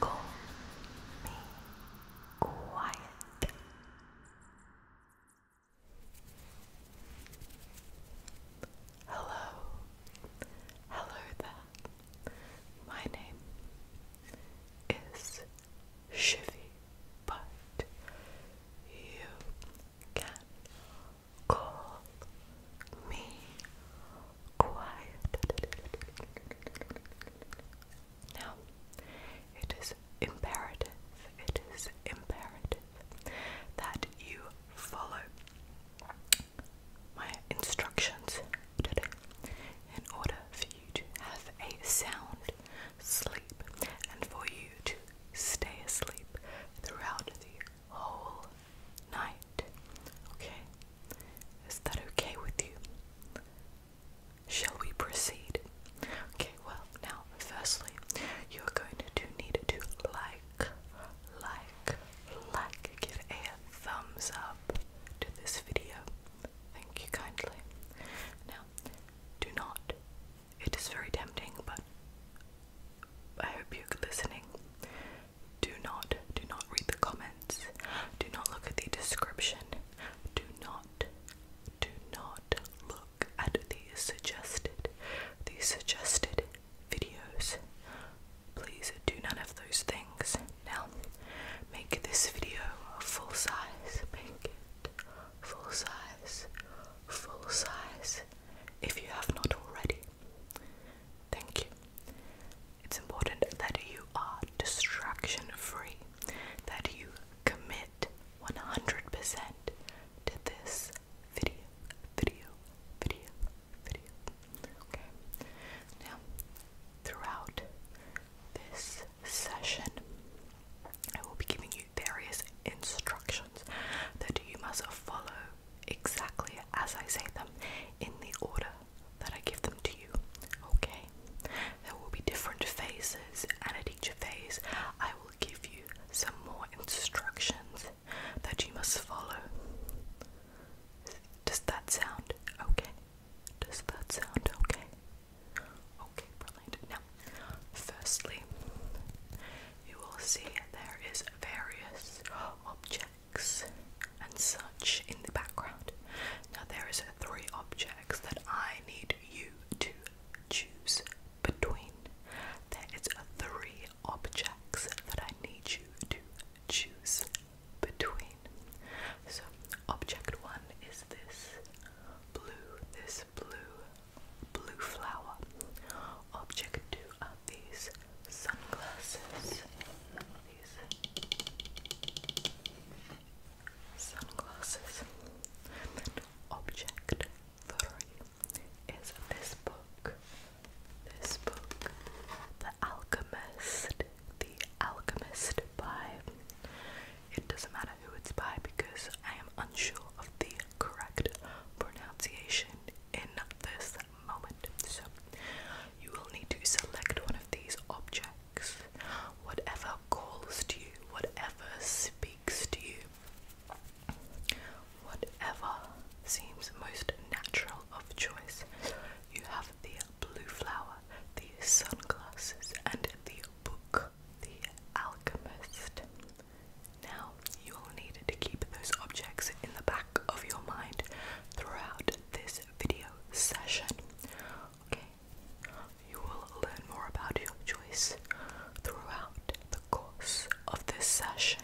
Call me quiet. Hello, hello there. My name is Shivy, but you can call me quiet. Now, it is imperative, it is imperative that you follow my instructions today in order for you to have a sound sleep and for you to stay asleep throughout the whole night. Okay? Is that okay with you? Shall we proceed? Okay, well, now, firstly, you're going to need to like, like, like, give a thumbs up to this video. Thank you kindly. Now, do not, it is very tempting, but I hope you're listening do not do not read the comments do not look at the description do not do not look at the suggested the suggested videos please do none of those things now make this video full size make it full size full size if you have not already. Thank you. It's important that you are distraction free, that you commit 100% to this video, video, video, video. Okay? Now, throughout this session, I will be giving you various instructions that you must follow exactly as I say them in the order that I give them to you. Okay? There will be different phases, and at each phase, I will give you some more instructions that you must follow. Does that sound okay? Does that sound okay? Okay, brilliant. Now, firstly, you will see there is various objects and such in the background. Now there is three objects that I need you to choose between. There is three objects that I need you to choose between. So object one is this blue, this blue, blue flower. Object two are these sunglasses. sunglasses. object three is this book. This book, The Alchemist. The Alchemist by. It doesn't matter who it's by because I am unsure of the correct pronunciation in this moment. So, you will need to select one of these objects, whatever calls to you, whatever speaks to you, whatever seems most natural of choice. You have the blue flower, the sunglasses, and the book, The Alchemist. Now, you will need to keep those objects in the back of your mind throughout this video session. Okay? You will learn more about your choice throughout the course of this session.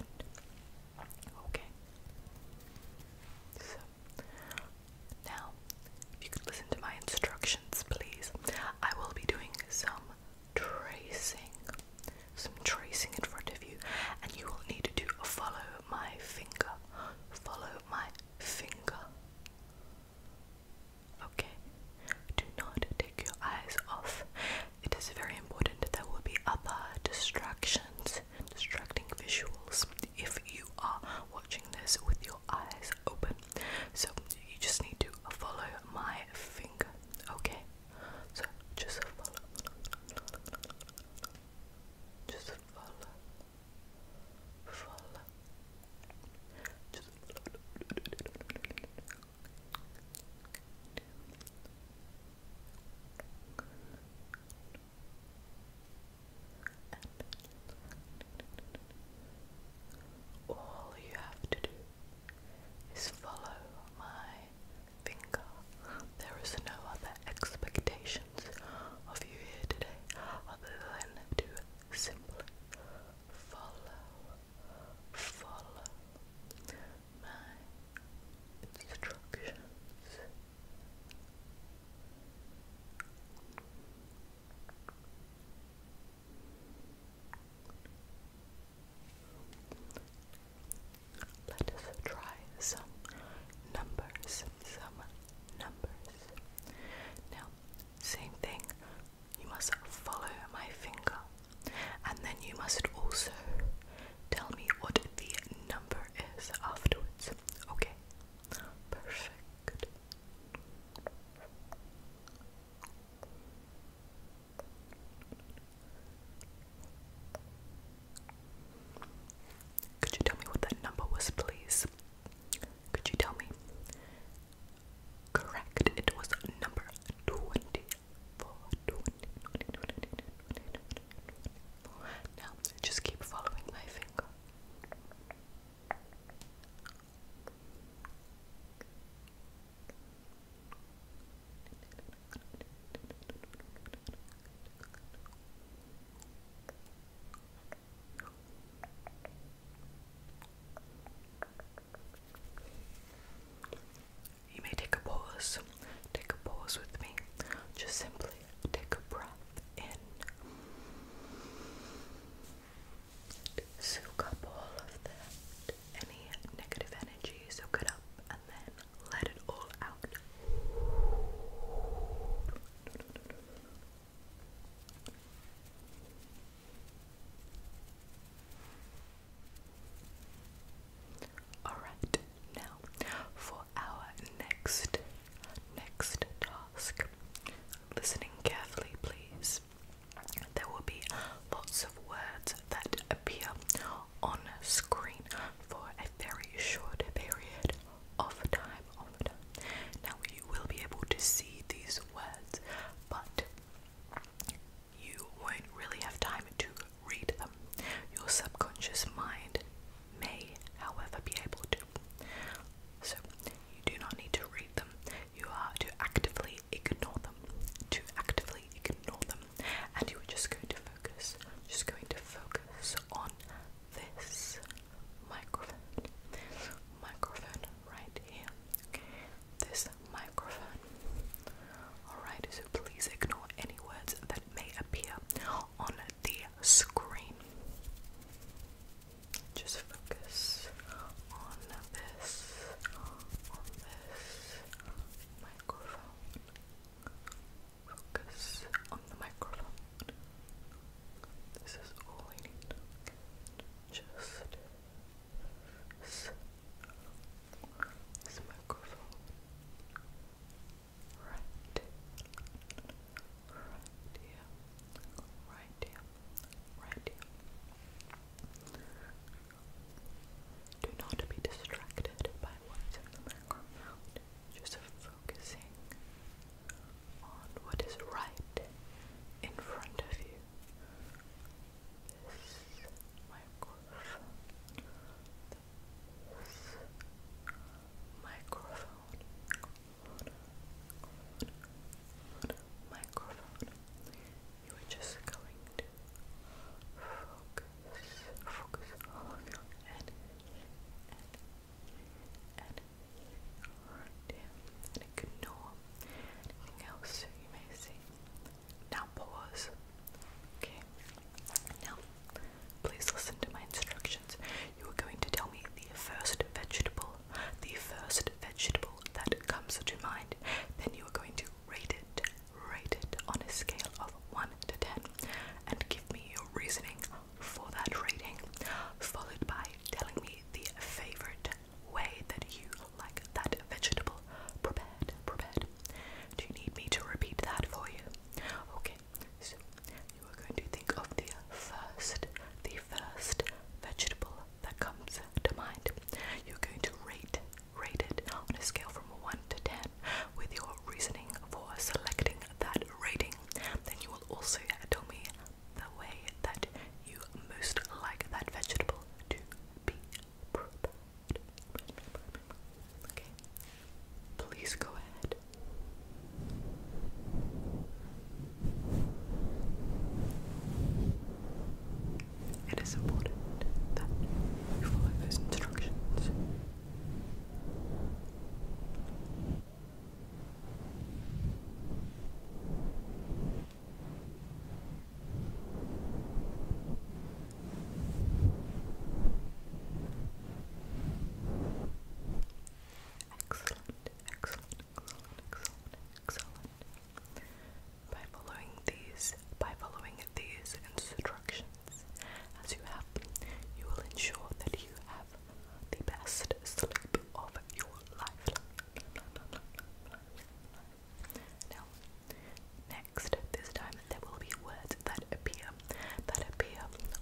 Okay? So, now, if you could listen to my instructions, please. I will be doing some tracing some tracing in front of you, and you will need to follow my finger. Follow my finger. Okay. Do not take your eyes off. It is very important there will be other distractions, distracting visuals if you are watching this with your eyes open. So you just need to follow my finger. Okay just follow, just follow, follow, just all you have to do is follow my finger. There is no other expectations of you here today other than to simply follow, follow my instructions. Let us try some numbers. Some numbers. Now, same thing. You must follow my finger, and then you must also tell me what the number is afterwards. Okay? Perfect. Could you tell me what that number was, please? Could you tell me? Correct, it was number 24. Now, just keep following my finger. You may take a pause, take a pause with me. Just simply take a breath in. Soak up all of that, any negative energy, soak it up let it all out. Alright, now for our next next task. Listening carefully, please. There will be lots of words that appear on screen for a very short period of time. Of time. Now you will be able to see these words, but you won't really have time to read them. Your subconscious mind may, however, be able to. So you do not need to read them. You are to actively ignore them. To actively ignore them and you are just going to focus, just going to focus on this microphone, microphone right here. This microphone. Alright, so please ignore any words that may appear on the screen. Just focus on this, on this microphone. Focus on the microphone. This is all I need. Just this microphone. Right. Right here. Right here. Right here. Do not be distracted by what's in the background. Just focusing on what is right in front of you. This microphone. This microphone. Microphone. You are just going to focus focus all of your energy and and and ignore anything else you may see. Now pause. Okay. Now please listen to my instructions. You are going to tell me the first vegetable, the first vegetable that comes to mind. Then you are going to to rate it, rate it on a scale of 1 to 10 and give me your reasoning for that rating, followed by telling me the favorite way that you like that vegetable prepared, prepared. Do you need me to repeat that for you? Okay, so you are going to think of the first, the first vegetable that comes to mind. You're going to rate rated on a scale from 1 to 10 with your reasoning for selecting that rating. Then you will also tell me the way that you most like that vegetable to be prepared. Okay, please go ahead it is important that you follow those instructions. Excellent, excellent, excellent, excellent, excellent. By following these, by following these instructions, as you have, you will ensure that you have the best sleep of your life. Now, next, this time there will be words that appear that appear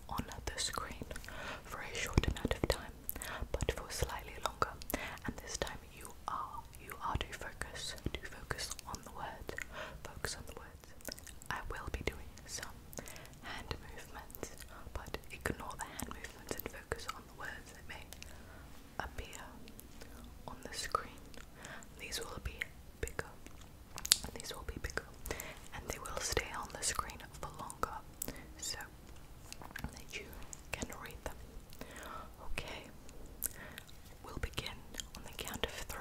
on the screen for a short amount of time, but for slightly longer. And this time you are you are to focus to focus on the word, focus on the word. I will be doing some hand movements, but ignore the hand movements and focus on the words that may appear on the screen. These will be bigger. These will be bigger. And they will stay on the screen for longer. So that you can read them. Okay. We'll begin on the count of three.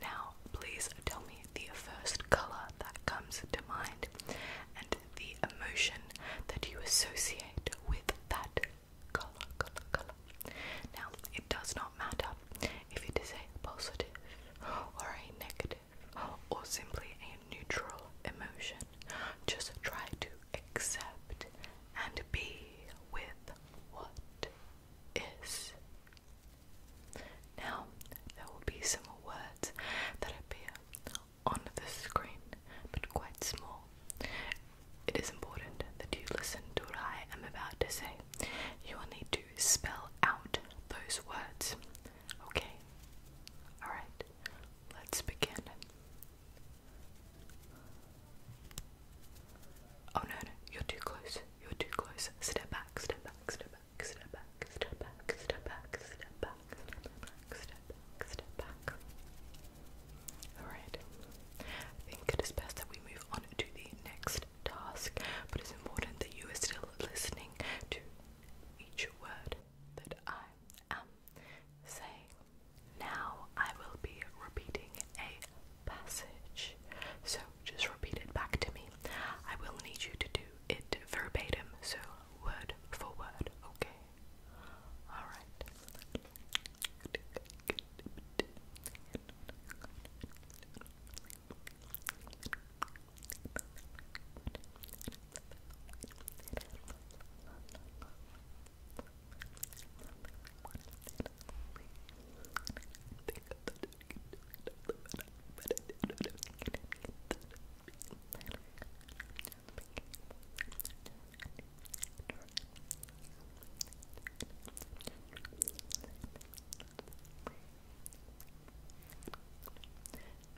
Now, please tell me the first colour that comes to mind and the emotion that you associate with that colour, colour, colour. Now, it does not matter if it is a positive or a negative or simply a neutral emotion. Just try to accept and be with what is. Now, there will be some words that appear on the screen, but quite small. It is important that you listen to what I am about to say. You will need to spell out those words. Okay? Alright, let's begin. Oh no, no, you're too close. You're too close. Step back, step back, step back back, step back, step back, step back, step back, step back, step back, step back. Alright. I think it is best that we move on to the next task, but it's important that you are still listening to each word that I am saying. Now I will be repeating a passage. So just repeat it back to me. I will need you to do it verbatim, so word for word, okay? Alright.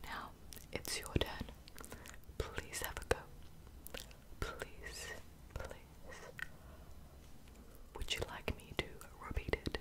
Now it's your turn. Please have a go. Please, please. Would you like me to repeat it?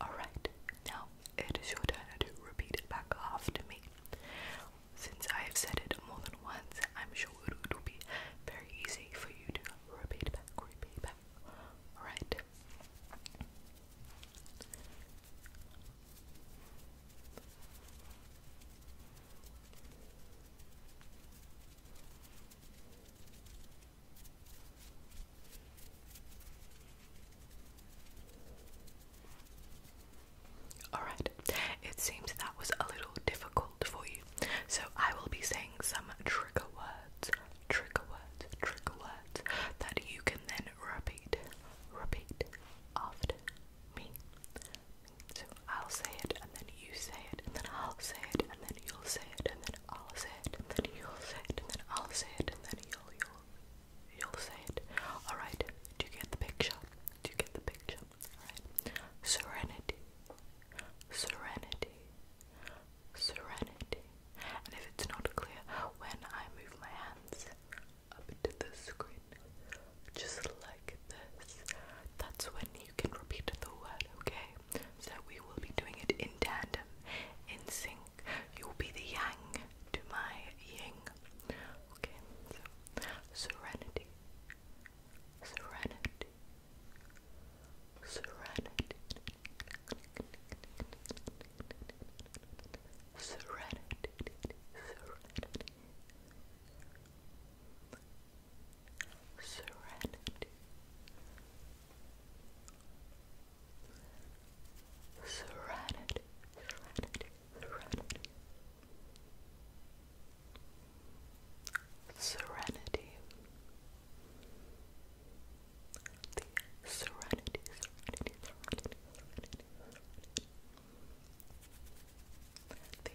Alright, now it is your turn to repeat it back after me. Since I have said it more than once, I'm sure it will be very easy for you to repeat back, repeat back. Alright. Alright, it seems that was a little difficult for you, so I will be saying some trigger words, trigger words, trigger words that you can then repeat, repeat after me. So I'll say it, and then you say it, and then I'll say it, and then you'll say it, and then I'll say it, and then you'll say it, and then I'll say it, and then you'll you'll you'll say it. All right. Do you get the picture? Do you get the picture? All right. Serenity. Serenity. Serenity. And if it's not clear, when I move my hands up to the screen, just like this, that's when you can repeat the word, okay? So we will be doing it in tandem, in sync. You will be the yang to my yin. Okay, serenity, serenity, serenity, serenity, serenity, serenity serenity, serenity, serenity, serenity, serenity, the serenity, serenity, serenity, The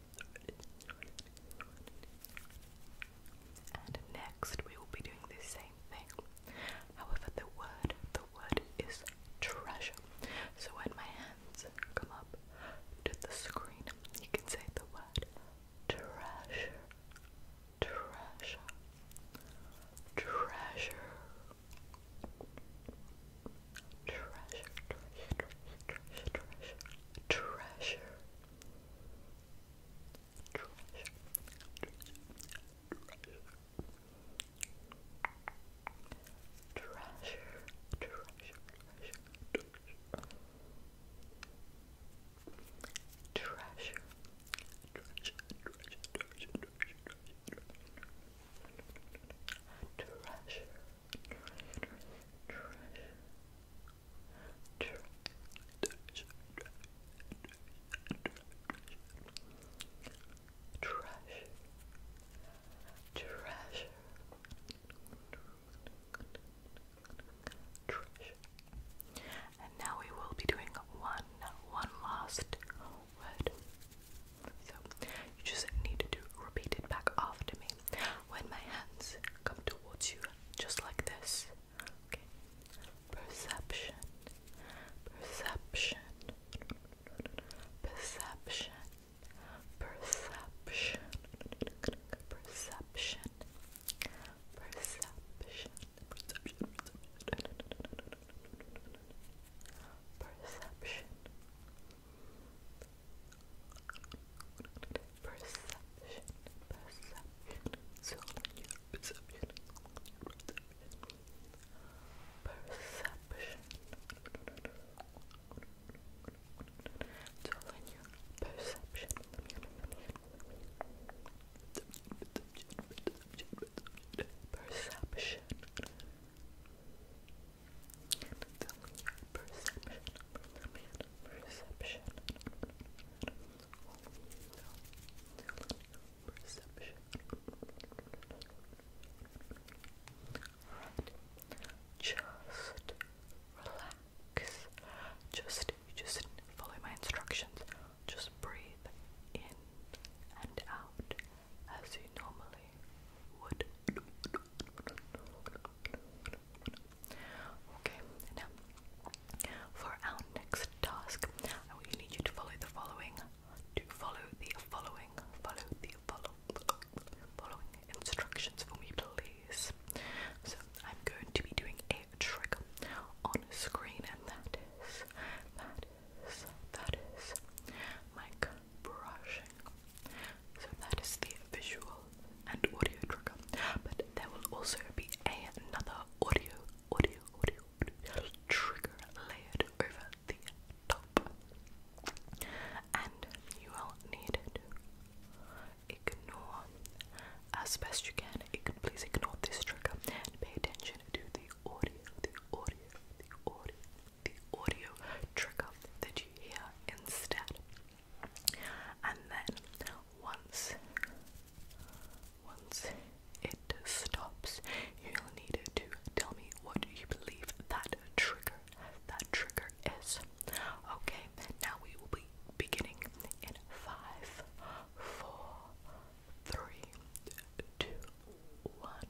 and next we will be doing the same thing. However, the word, the word is treasure. So when my hands come up to the screen, you can say the word treasure, treasure, treasure treasure, treasure, treasure, treasure, treasure, treasure, treasure, treasure, treasure, treasure, treasure, treasure, treasure, and now we will be doing one, one last Word, so you just need to repeat it back after me. When my hands come towards you, just like this. Okay. Perception. Perception. Perception. Perception. Perception. Perception. Perception. Perception. Perception, perception, it's in your perception, perception. Perception. in your perception. Perception. Perception perception, perception, perception. Perception. Just relax. Just just follow my instructions. Just breathe in and out as you normally would. Okay, now for our next task, I will need you to follow the following. To follow the following, follow the follow, following instructions for me, please. So I'm going to be doing a trick on screen, and that is, that is, that is, mic brushing. So that is the visual and audio trigger. But there will also be another audio, audio, audio, audio trigger layered over the top. And you will need to ignore as best you can. You can please ignore this trigger and pay attention to the audio, the audio, the audio, the audio trigger that you hear instead. And then once once it stops, you'll need to tell me what you believe that trigger that trigger is. Okay, now we will be beginning in five, four, three, two, one.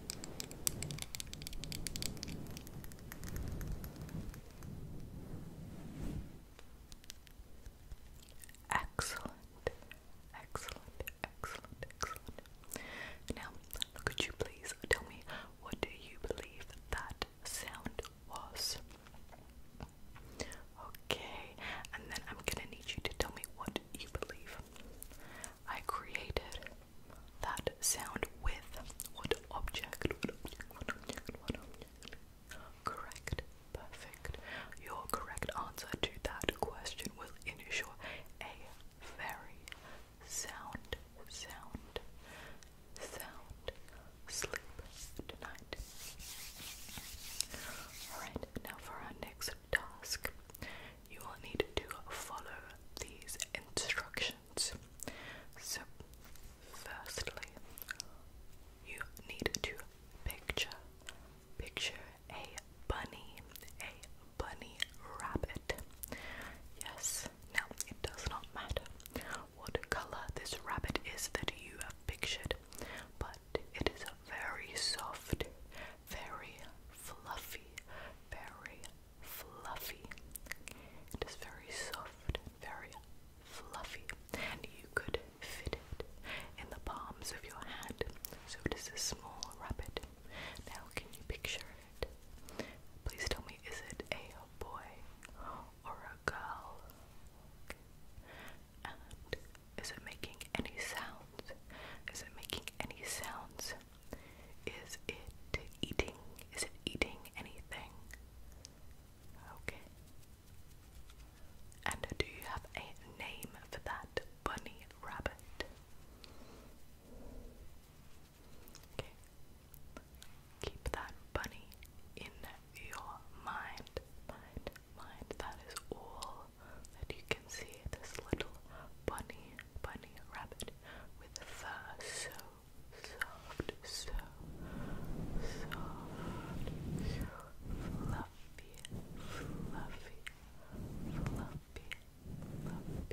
Excellent, excellent, excellent, excellent. Now, could you please tell me what you believe that sound was? Okay, and then I'm gonna need you to tell me what you believe. I created that sound with what object? What object? What object? What object? Correct. Perfect. Your correct answer to that question will ensure a very sound, sound, sound sleep tonight. Alright, now for our next task. You will need to follow these instructions. So, firstly, you need to picture picture a bunny, a bunny rabbit. Yes. Now, it does not matter what color this rabbit is that you have pictured, but it is a very soft, very fluffy, very fluffy. It is very soft, very fluffy, and you could fit it in the palms of your hand. So it is a small rabbit. Now, can you picture it? Please tell me, is it a boy or a girl? And is it making any sounds? Is it making any sounds? Is it eating? Is it eating anything? Okay. And do you have a name for that bunny rabbit? Okay. Keep that bunny in your mind. Mind, mind. That is all that you can see. This little bunny bunny rabbit with fur so soft, so soft, so fluffy, fluffy, fluffy, fluffy, fluffy, fluffy.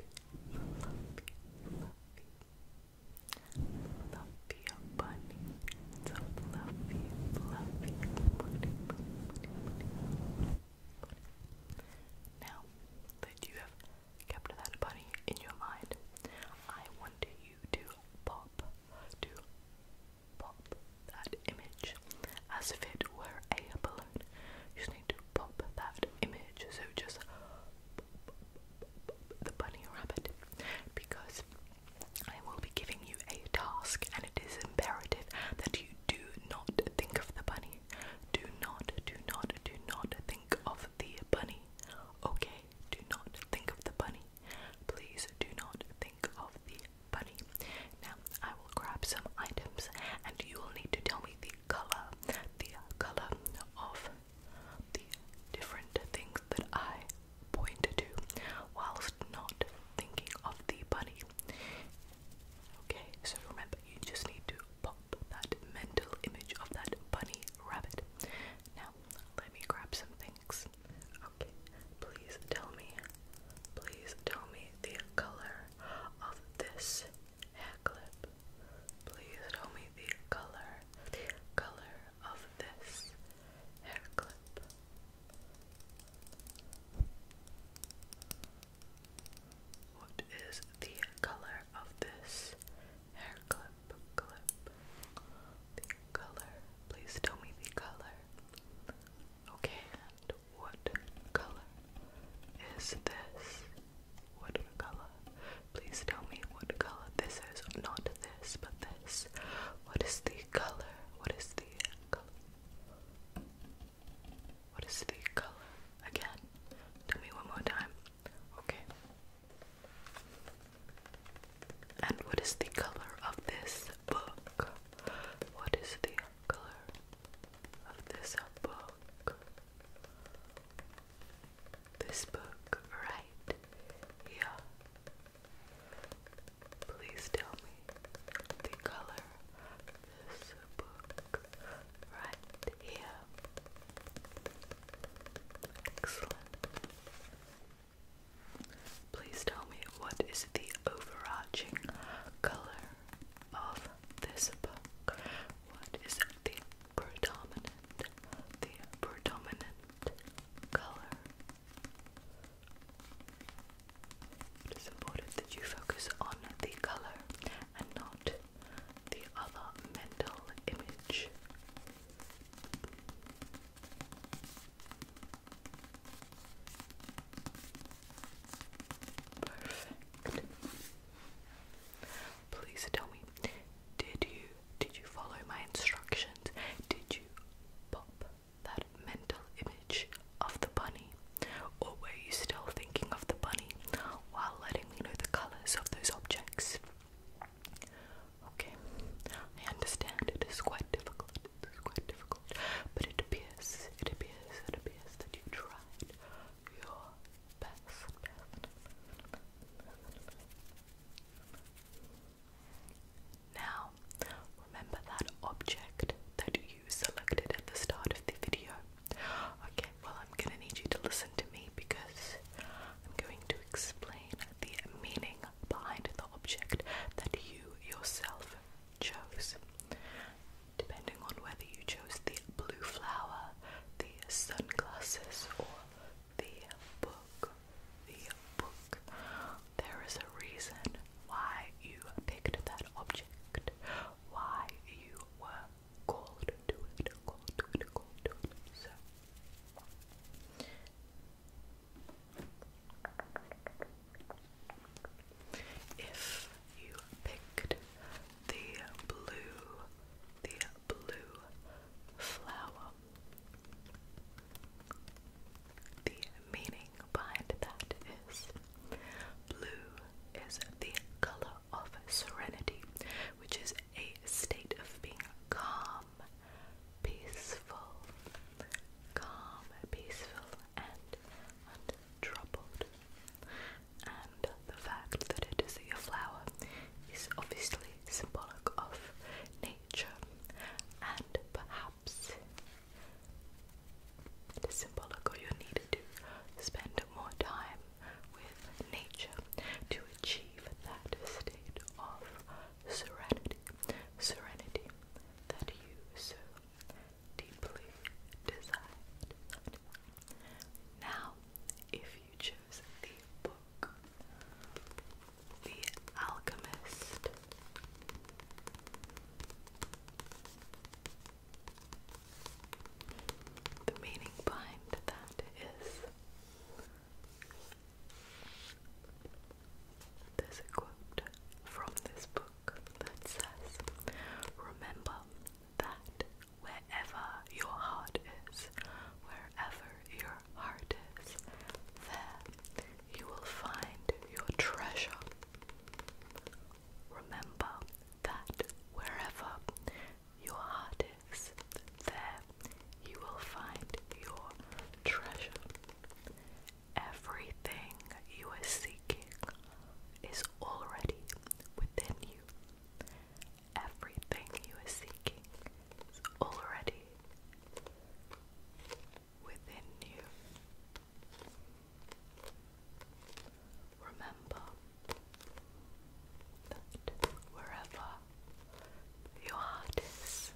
Fluffy bunny. It's a fluffy, fluffy bunny. Now that you have kept that bunny in your mind. I want you to pop, to pop that image as if it were a balloon. You just need to pop that image. So just pop, pop, pop, pop the bunny rabbit because I will be giving you a task and it is imperative that you do not think of the bunny do not, do not, do not think of the bunny. Okay, do not think of the bunny. Please do not think of the bunny. Now, I will grab some items and you will need to tell me the color, the color of the different things that I point to whilst not thinking of the bunny. Okay, so remember, you just need to pop that mental image of that bunny rabbit. Now, let me grab some things. Okay, please tell me, please tell me the color of this hair clip. Please tell me the color, the color of this hair clip. What is the color of this hair clip? Clip. The color. Please tell me the color. Okay, and what color is this? What color? Please tell me what color this is. Not this, but this. What is the color? What is the color? What is the color again? Tell me one more time. Okay. And what is the color of this book? What is the color of this book? This book right here. Please tell me the color of this book right here. Excellent. Please tell me what is the overarching color of this book? What is the predominant, the predominant color? It is important that you focus on the color and not the other mental image. Perfect. Please tell me, did you did you follow my instructions? Did you pop that mental image of the bunny or were you still thinking of the bunny while letting me know the colours of those objects? Okay, I understand it is quite difficult, it is quite difficult, but it appears, it appears, it appears that you tried your best. Now, remember that object that you selected at the start of the video. Okay, well, I'm gonna need you to listen to me because I'm going to explain the meaning behind the object that you yourself chose. Depending on whether you chose the blue flower, the sunglasses, or the book, the book, there is a reason why you picked that object, why you were goal if you picked the blue, the blue flower, the meaning behind that is blue is the color of serenity, which is a state of being calm, peaceful, calm, peaceful, and untroubled. And the fact that it is a flower is obviously symbolic of nature, and perhaps symbolic, of you need to spend more time with nature to achieve that state of serenity, serenity that you so deeply desired. Now, if you chose the book, The Alchemist the meaning behind that is there's a quote from this book that says, Remember that wherever your heart is, wherever your heart is, there you will find your treasure. Remember that wherever your heart is, there you will find your treasure. Everything you are seeking is already within you. Everything you are seeking is already within you. Remember that wherever your heart is,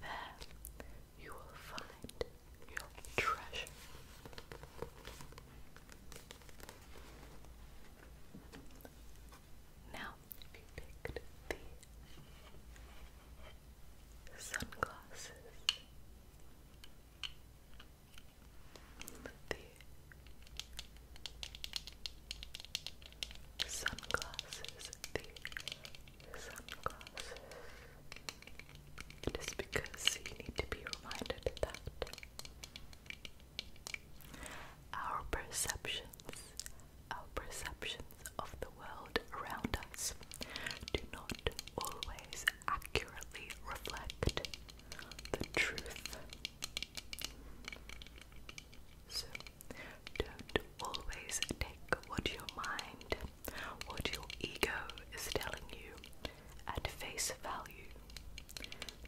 there you will find your treasure. Now, you picked the sunglasses, the sunglasses, the sunglasses. It is because you need to be reminded that our perceptions, our perceptions of the world around us do not always accurately reflect the truth. So, don't always take what your mind, what your ego is telling you at face value.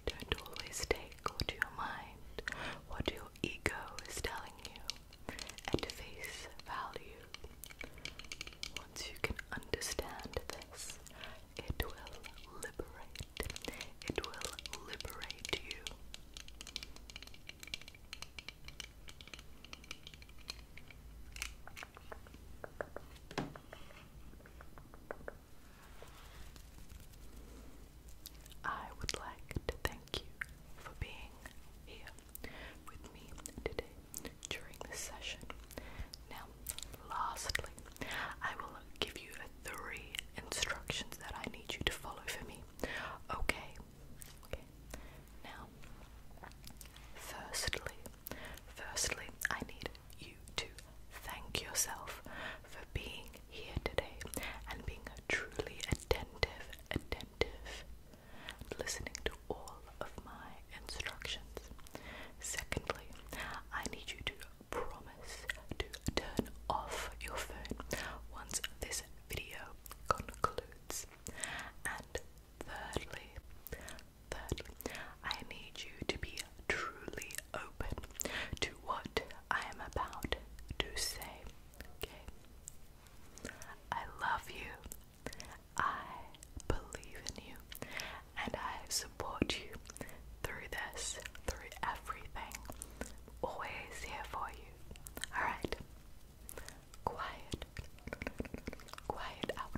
Don't always take what your mind, what your ego is telling you at face value. Once you can understand this it will liberate. It will liberate you. I would like to thank you for being here with me today during this session. Now, Lastly, I will give you three instructions that I need you to follow for me. Okay. Now, firstly, firstly, I need you to thank yourself for being here today and being truly attentive, attentive, and listening to all of my instructions. Secondly, I need you to promise to turn off your phone once this video concludes. And thirdly, thirdly, I need you to be truly open to what I am about to say. Okay? I love you. I believe in you, and I support you through this, through everything. Always here for you. Alright? Quiet. Quiet out.